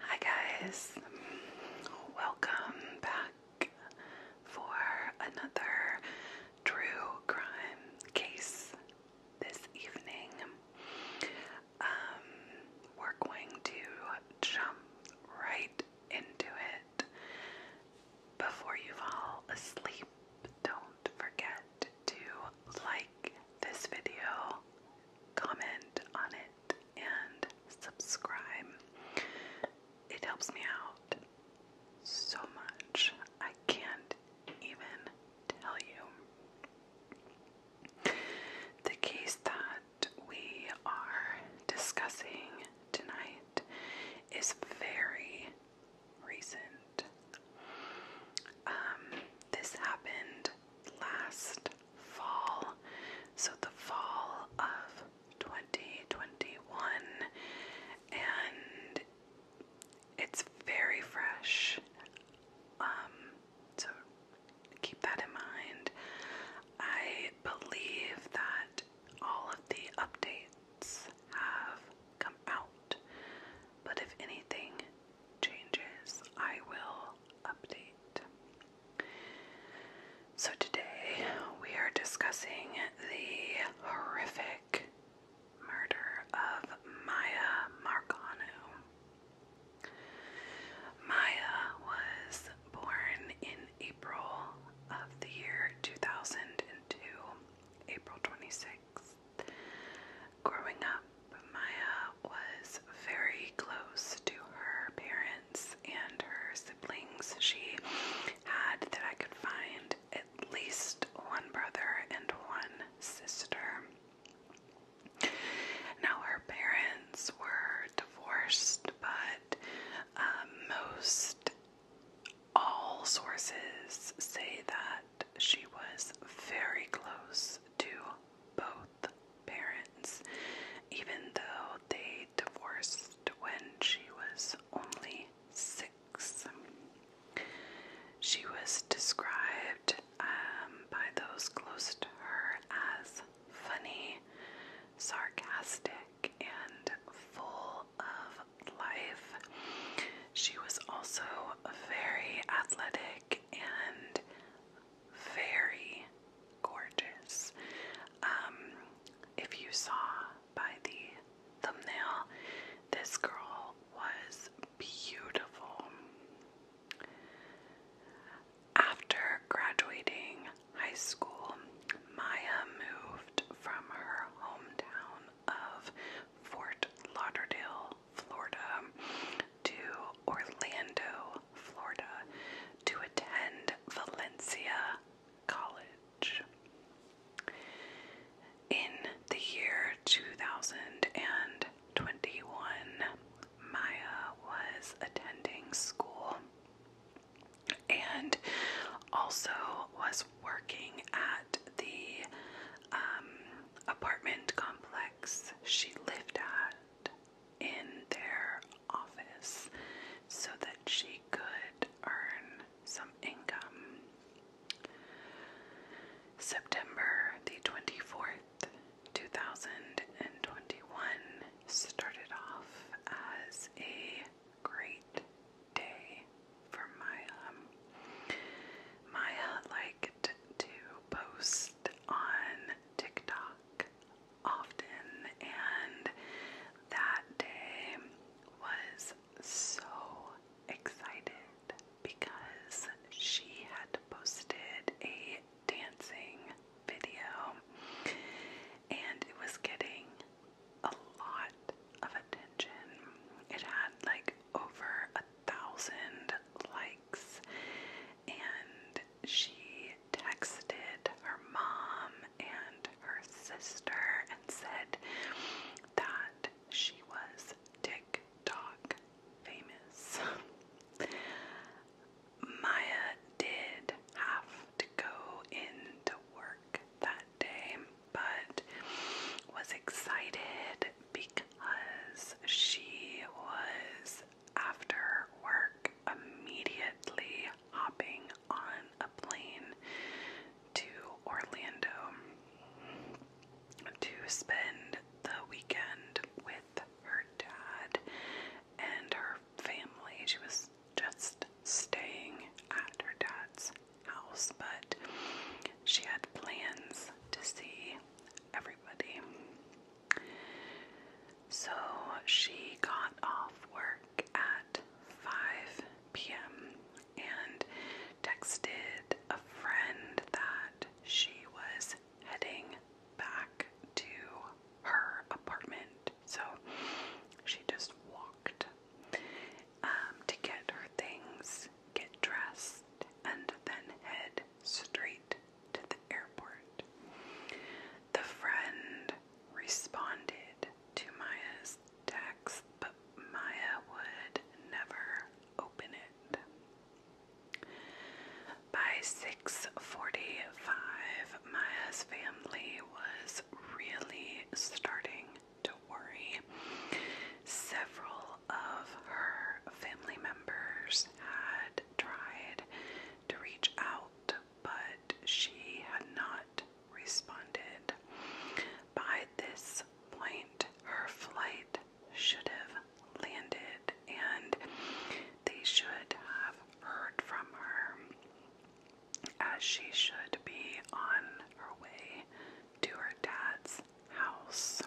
Hi guys, welcome back for another true crime case this evening. Um, we're going to jump right into it. Before you fall asleep, don't forget to like this video, comment on it, and subscribe. It helps me out so much. I can't even tell you. The case that we are discussing tonight is very recent. Um, this happened last fall. So the fall of 2021 and it's very fresh. Um, so keep that in mind. I believe that all of the updates have come out. But if anything, changes, I will update. So, today we are discussing the horrific murder of Maya Marcano. Maya was born in April of the year 2002, April 26th. Growing up, Maya was very close to her parents and her siblings. She had, that I could find, at least one brother and one sister. Now, her parents were divorced, but um, most all sources say that she was very close to both parents, even though they divorced when she was only six. She was described um, by those close to her as funny, sarcastic, and full of life. She was also very athletic and very gorgeous. Um, if you saw by the thumbnail, this girl was beautiful. After graduating high school, Maya moved from her hometown of Fort Lauderdale Florida to Orlando, Florida to attend Valencia College. In the year 2021, Maya was attending school and also was working at the um, apartment complex she lived at in their office so that she could earn some income. September the 24th, 2021 started off as a great day for my Maya, like liked to post on TikTok often, and that day was so excited because she had posted a dancing video and it was getting a lot of attention. It had like over a thousand likes, and she texted her mom and her sister and said that she was TikTok famous. Maya did have to go into work that day, but was excited because she was after work immediately hopping on a plane to Orlando to spend the weekend with her dad and her family. She was just staying at her dad's house, but she had plans to see everybody. So she got off work at 5 p.m. and texted a friend that she was heading back to her apartment. So she just walked um, to get her things, get dressed, and then head straight to the airport. The friend responded to Maya's text, but Maya would never open it. By 6:45, Maya's family was really starting to worry. Several of her family members had tried to reach out, but she had not responded. By this point, her flight should have landed and they should have heard from her as she should be on her way to her dad's house.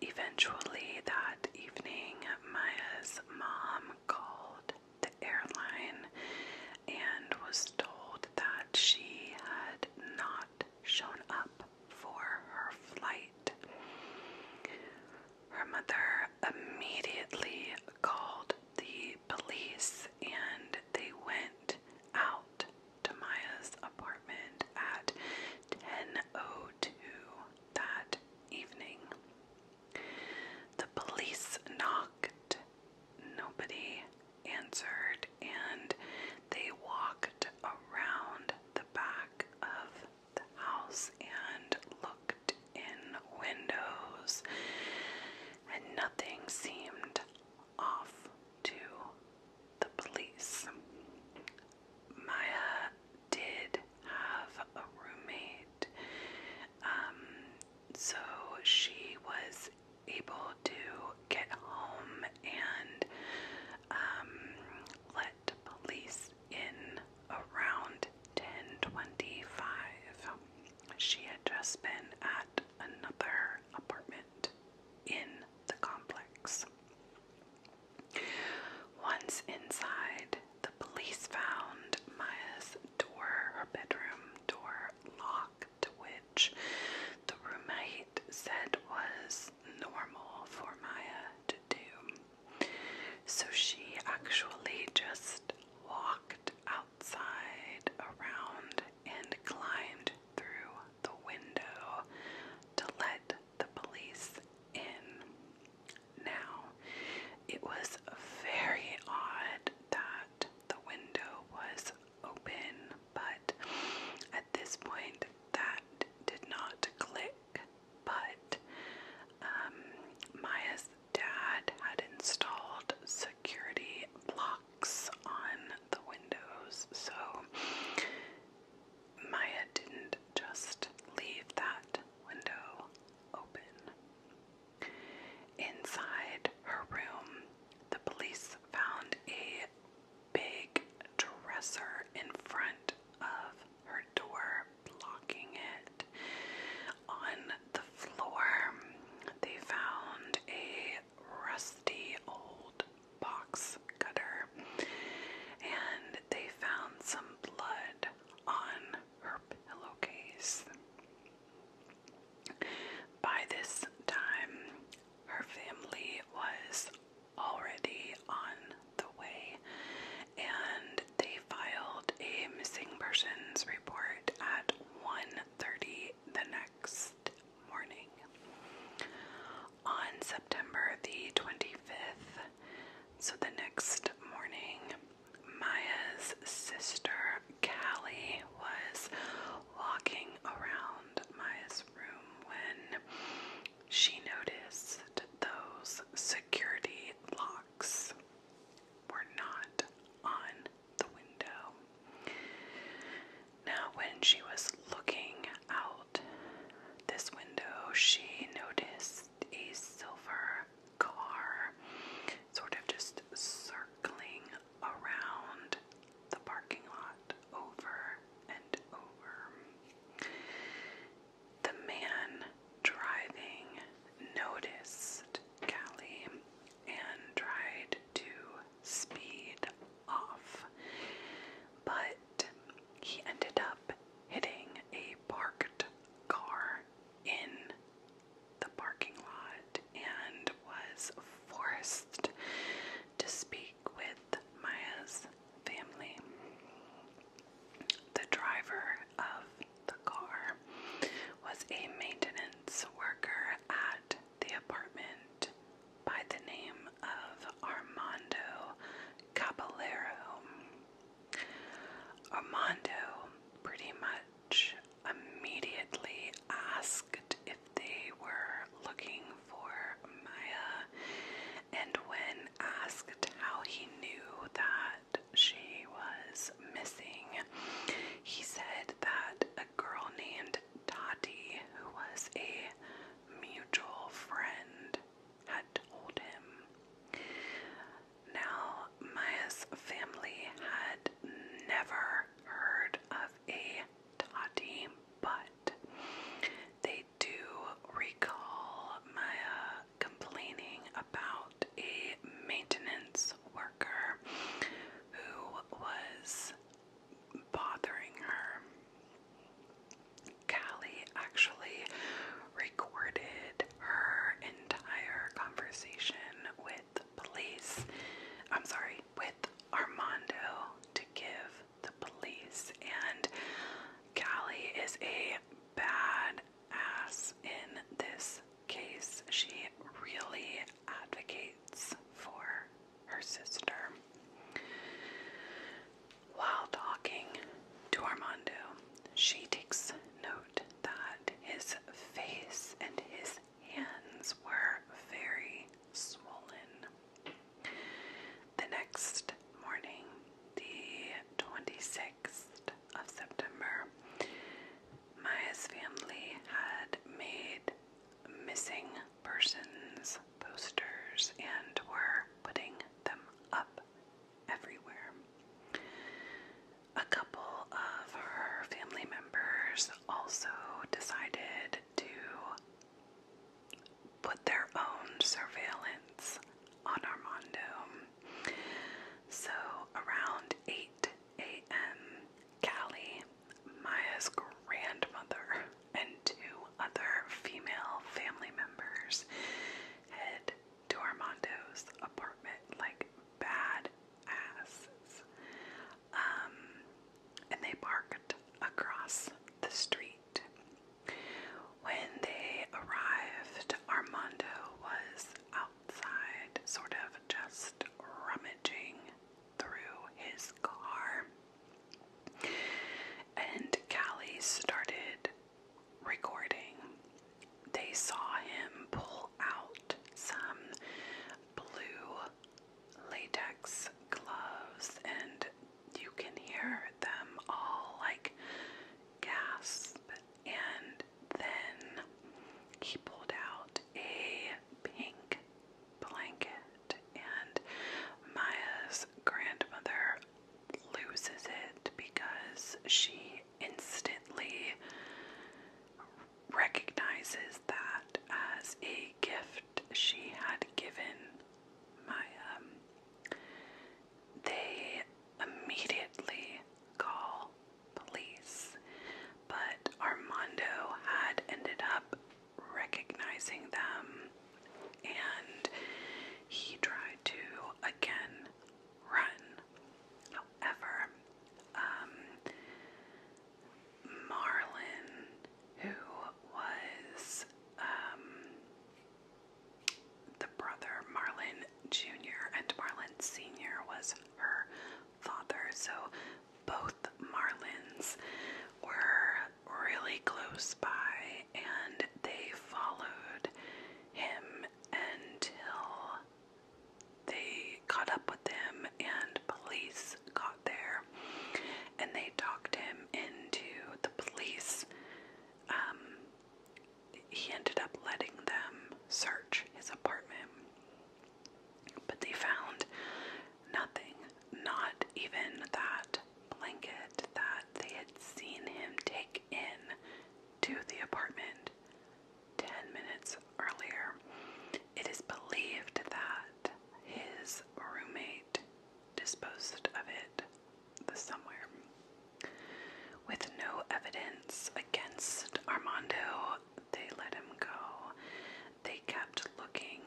Eventually, that evening, Maya's mom called the airline and was told that she had not shown up for her flight. Her mother immediately called the police and they went out to Maya's apartment at 10.02 that evening. The police knocked, nobody answered, and they walked around the back of the house and looked in windows, and nothing seemed off to the police. Maya did have a roommate, um, so she was able to get home and um, let police in around 10:25. She had just been at another apartment in the complex. Once inside, the police found Maya's door, her bedroom door, locked, which the roommate said was normal for Maya to do. So she actually just walked outside around and climbed through the window to let the police in. Now, it was very odd that the window was open, but at this point, that did not click. But um, Maya's dad had installed security blocks on the windows, so Maya didn't just leave that window open. Inside her room, the police found a big dresser in front of her door, blocking it on the floor, they found a rusty old box cutter and they found some blood on her pillowcase. By this time, her family was already on the way and they filed a missing persons report at 1:30 the next morning. On September the 25th, so the next morning, Maya's sister Callie was walking around Maya's room when she noticed those security locks were not on the window. Now, when she was looking out this window, she noticed a silver car sort of just circling around the parking lot over and over. The man driving noticed Callie and tried to speed off, but he ended up hitting a parked car in the parking lot and was forced to speak with Maya's family. The driver of the car was a maintenance worker at the apartment by the name of Armando Caballero. Armando pretty much immediately asked if they were looking for Maya, and when asked how he knew that she was missing. He said that a girl named Tati, who was a mutual friend, had told him. Now, Maya's family had never heard of a Tati, but they do recall Maya complaining about a maintenance worker who was bothering her. Callie actually recorded her entire conversation with police. I'm sorry, with Armando to give the police. And Callie is a bad ass in this case, she really advocates for her sister. While talking to Armando, she takes note that his face and his hands were very swollen. The next morning, the 26th 6th of September, Maya's family had made missing persons posters and were putting them up everywhere. A couple of her family members also decided to put their own surveillance on Armando so around 8 a.m., Callie, Maya's grandmother, and two other female family members head to Armando's apartment like bad asses. Um, and they parked across the street. When they arrived, Armando was out outside, sort of just rummaging through his car. And Callie started recording. They saw him pull out some blue latex gloves, and you can hear them all like gasp and then he pulled out a pink blanket, and Maya's grandmother loses it because she instantly recognizes that as a gift she had given Maya they immediately call police, but Armando had ended up recognizing them and he tried to again run. However, um, who was um, the brother Marlon Jr. and Marlin Sr. was her father, so both Marlins were really close by and they followed him until they caught up with him and police got there and they talked him into the police um, he ended up letting them search his apartment. But they found nothing, not even that blanket that they had seen him take in to the apartment 10 minutes earlier. It is believed that his roommate disposed of it somewhere. With no evidence against Armando, they let him go. They kept looking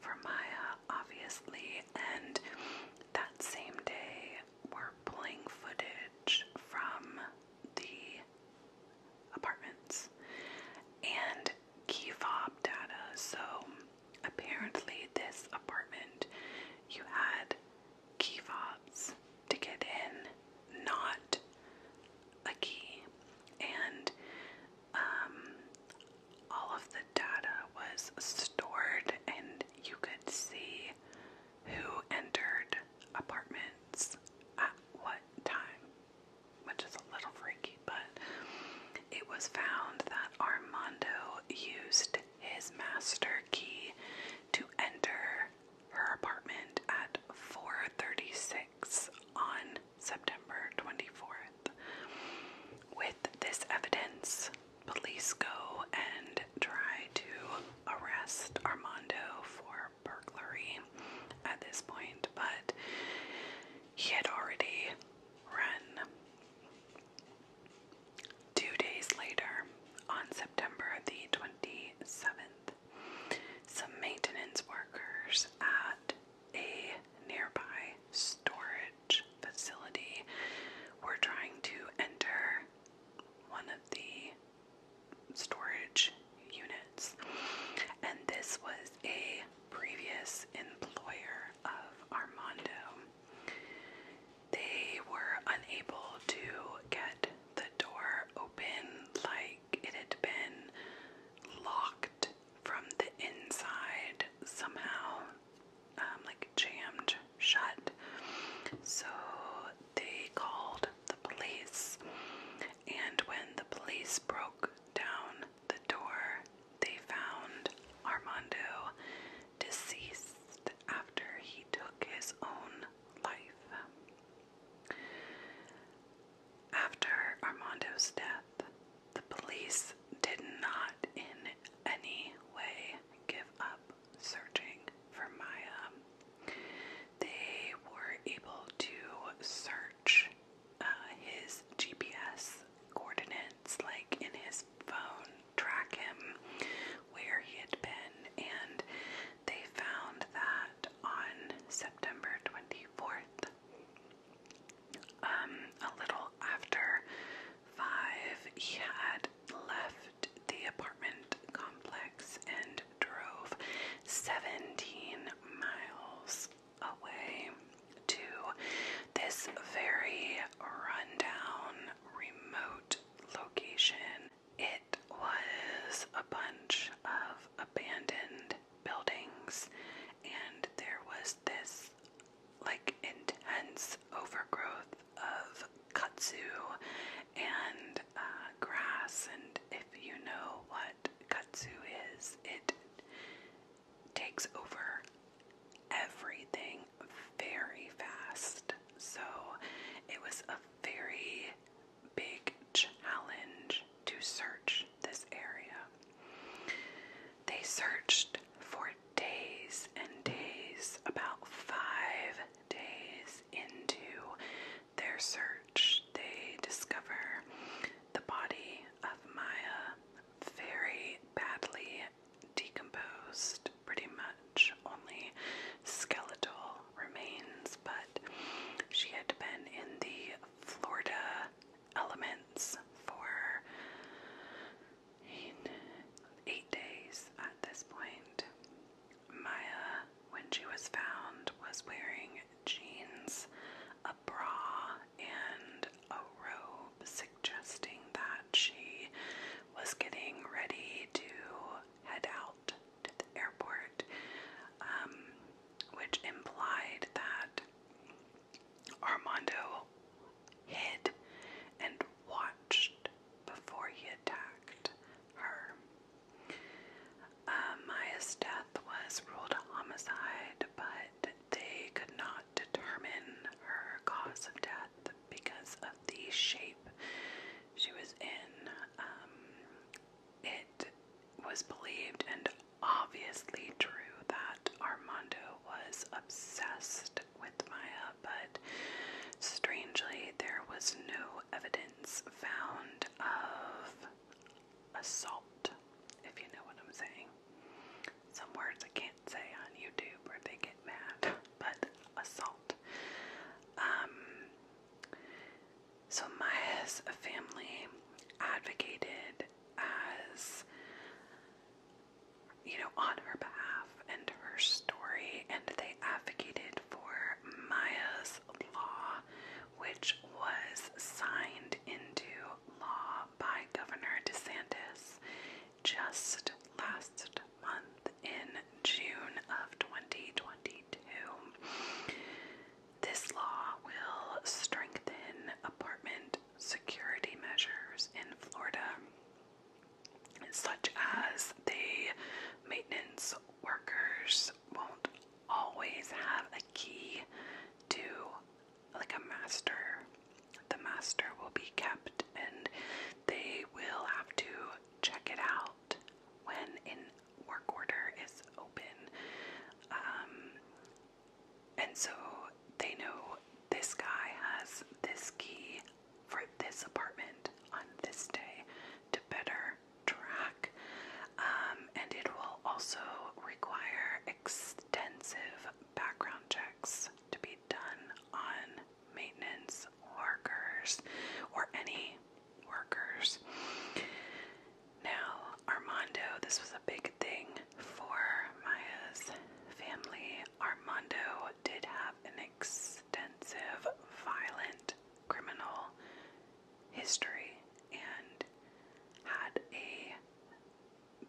for Maya, obviously, and that same day were pulling footage from the apartments and key fob data. So apparently, this apartment you had key fobs to get in, not a key. And um, all of the data was stored, and you could see who entered apartments at what time, which is a little freaky, but it was found that Armando used his master key to enter her apartment at 4:36 on September 24th. With this evidence, police go and try to arrest Armando for burglary at this point, but he had already run. Two days later, on September the 27th, some maintenance workers at a nearby storage facility were trying to enter one of the storage units, and this was a previous employer of Armando they were unable to get the door open like it had been locked from the inside somehow, um, like jammed shut. So they called the police, and when the police broke down the door, they found Armando deceased after he took his own life. After Armando's death, the police did not in any way give up searching for Maya. They were able to search uh, his GPS coordinates, like in his phone track him where he had been, and they found that on September 24th, um, a little after five, he had left the apartment complex and drove 17 miles away to this very rundown remote location. It was a bunch of abandoned buildings, and there was this like intense overgrowth of katsu and uh, grass. And if you know what katsu is, it takes over everything very fast. So it was a very big challenge to search this area. They searched for days and days, about five days into their search, they discover the body of Maya very badly decomposed pretty much, only skeletal remains, but she had been in the Florida elements for eight days at this point. Maya, when she was found, was wearing jeans, a bra, and a robe, suggesting that she was getting ready to head out to the airport, um, which implied that Armando hid and watched before he attacked her. Uh, Maya's death was ruled a homicide, but they could not determine her cause of death because of the shape she was in. Um, it was believed and obviously true that Armando was obsessed with Maya, but strangely, there was no evidence found of assault, if you know what I'm saying some words I can't say on YouTube or they get mad, but assault. Um, so Maya's family advocated as, you know, on her behalf and her story, and they advocated for Maya's law, which was signed into law by Governor DeSantis just last month in June of 2022. This law will strengthen apartment security measures in Florida, such as the maintenance workers won't always have a key to like a master. The master will be kept and they will have to check it out when in work order is open. Um, and so they know this guy has this key for this apartment on this day to better track. Um, and it will also require extensive background checks to be done on maintenance workers or any workers. Now, Armando, this was a big thing for Maya's family. Armando did have an extensive, violent criminal history and had a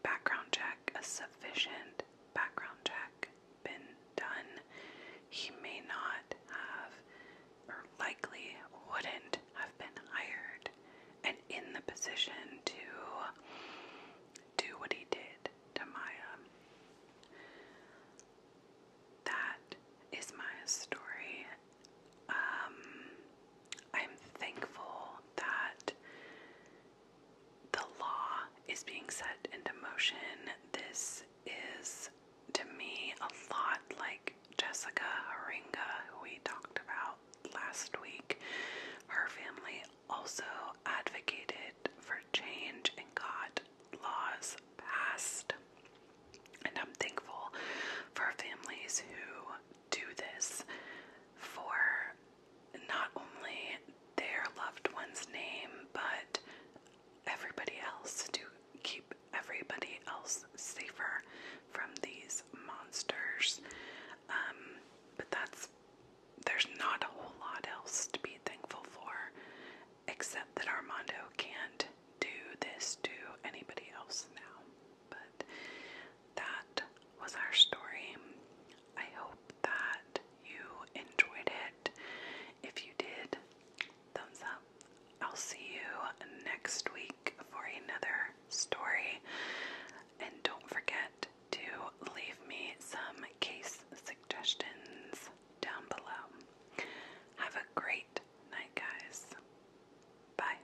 background check, a sufficient background check, been done, he may not have or likely wouldn't have been hired and in the position to do what he did to Maya. That is Maya's story. Um, I'm thankful that the law is being set into motion. This is, to me, a lot like Jessica Haringa, who we talked about last week. Her family also advocated for change and got laws passed. And I'm thankful for families who do this for not only their loved one's name, but everybody else to keep everybody else safer from these monsters. Um, but that's, there's not a whole lot else to be thankful for, except that Armando can't do this to anybody else now. But that was our story. I hope that you enjoyed it. If you did, thumbs up. I'll see you next week for another story. And don't forget to leave me some case suggestions down below. Have a great night, guys. Bye.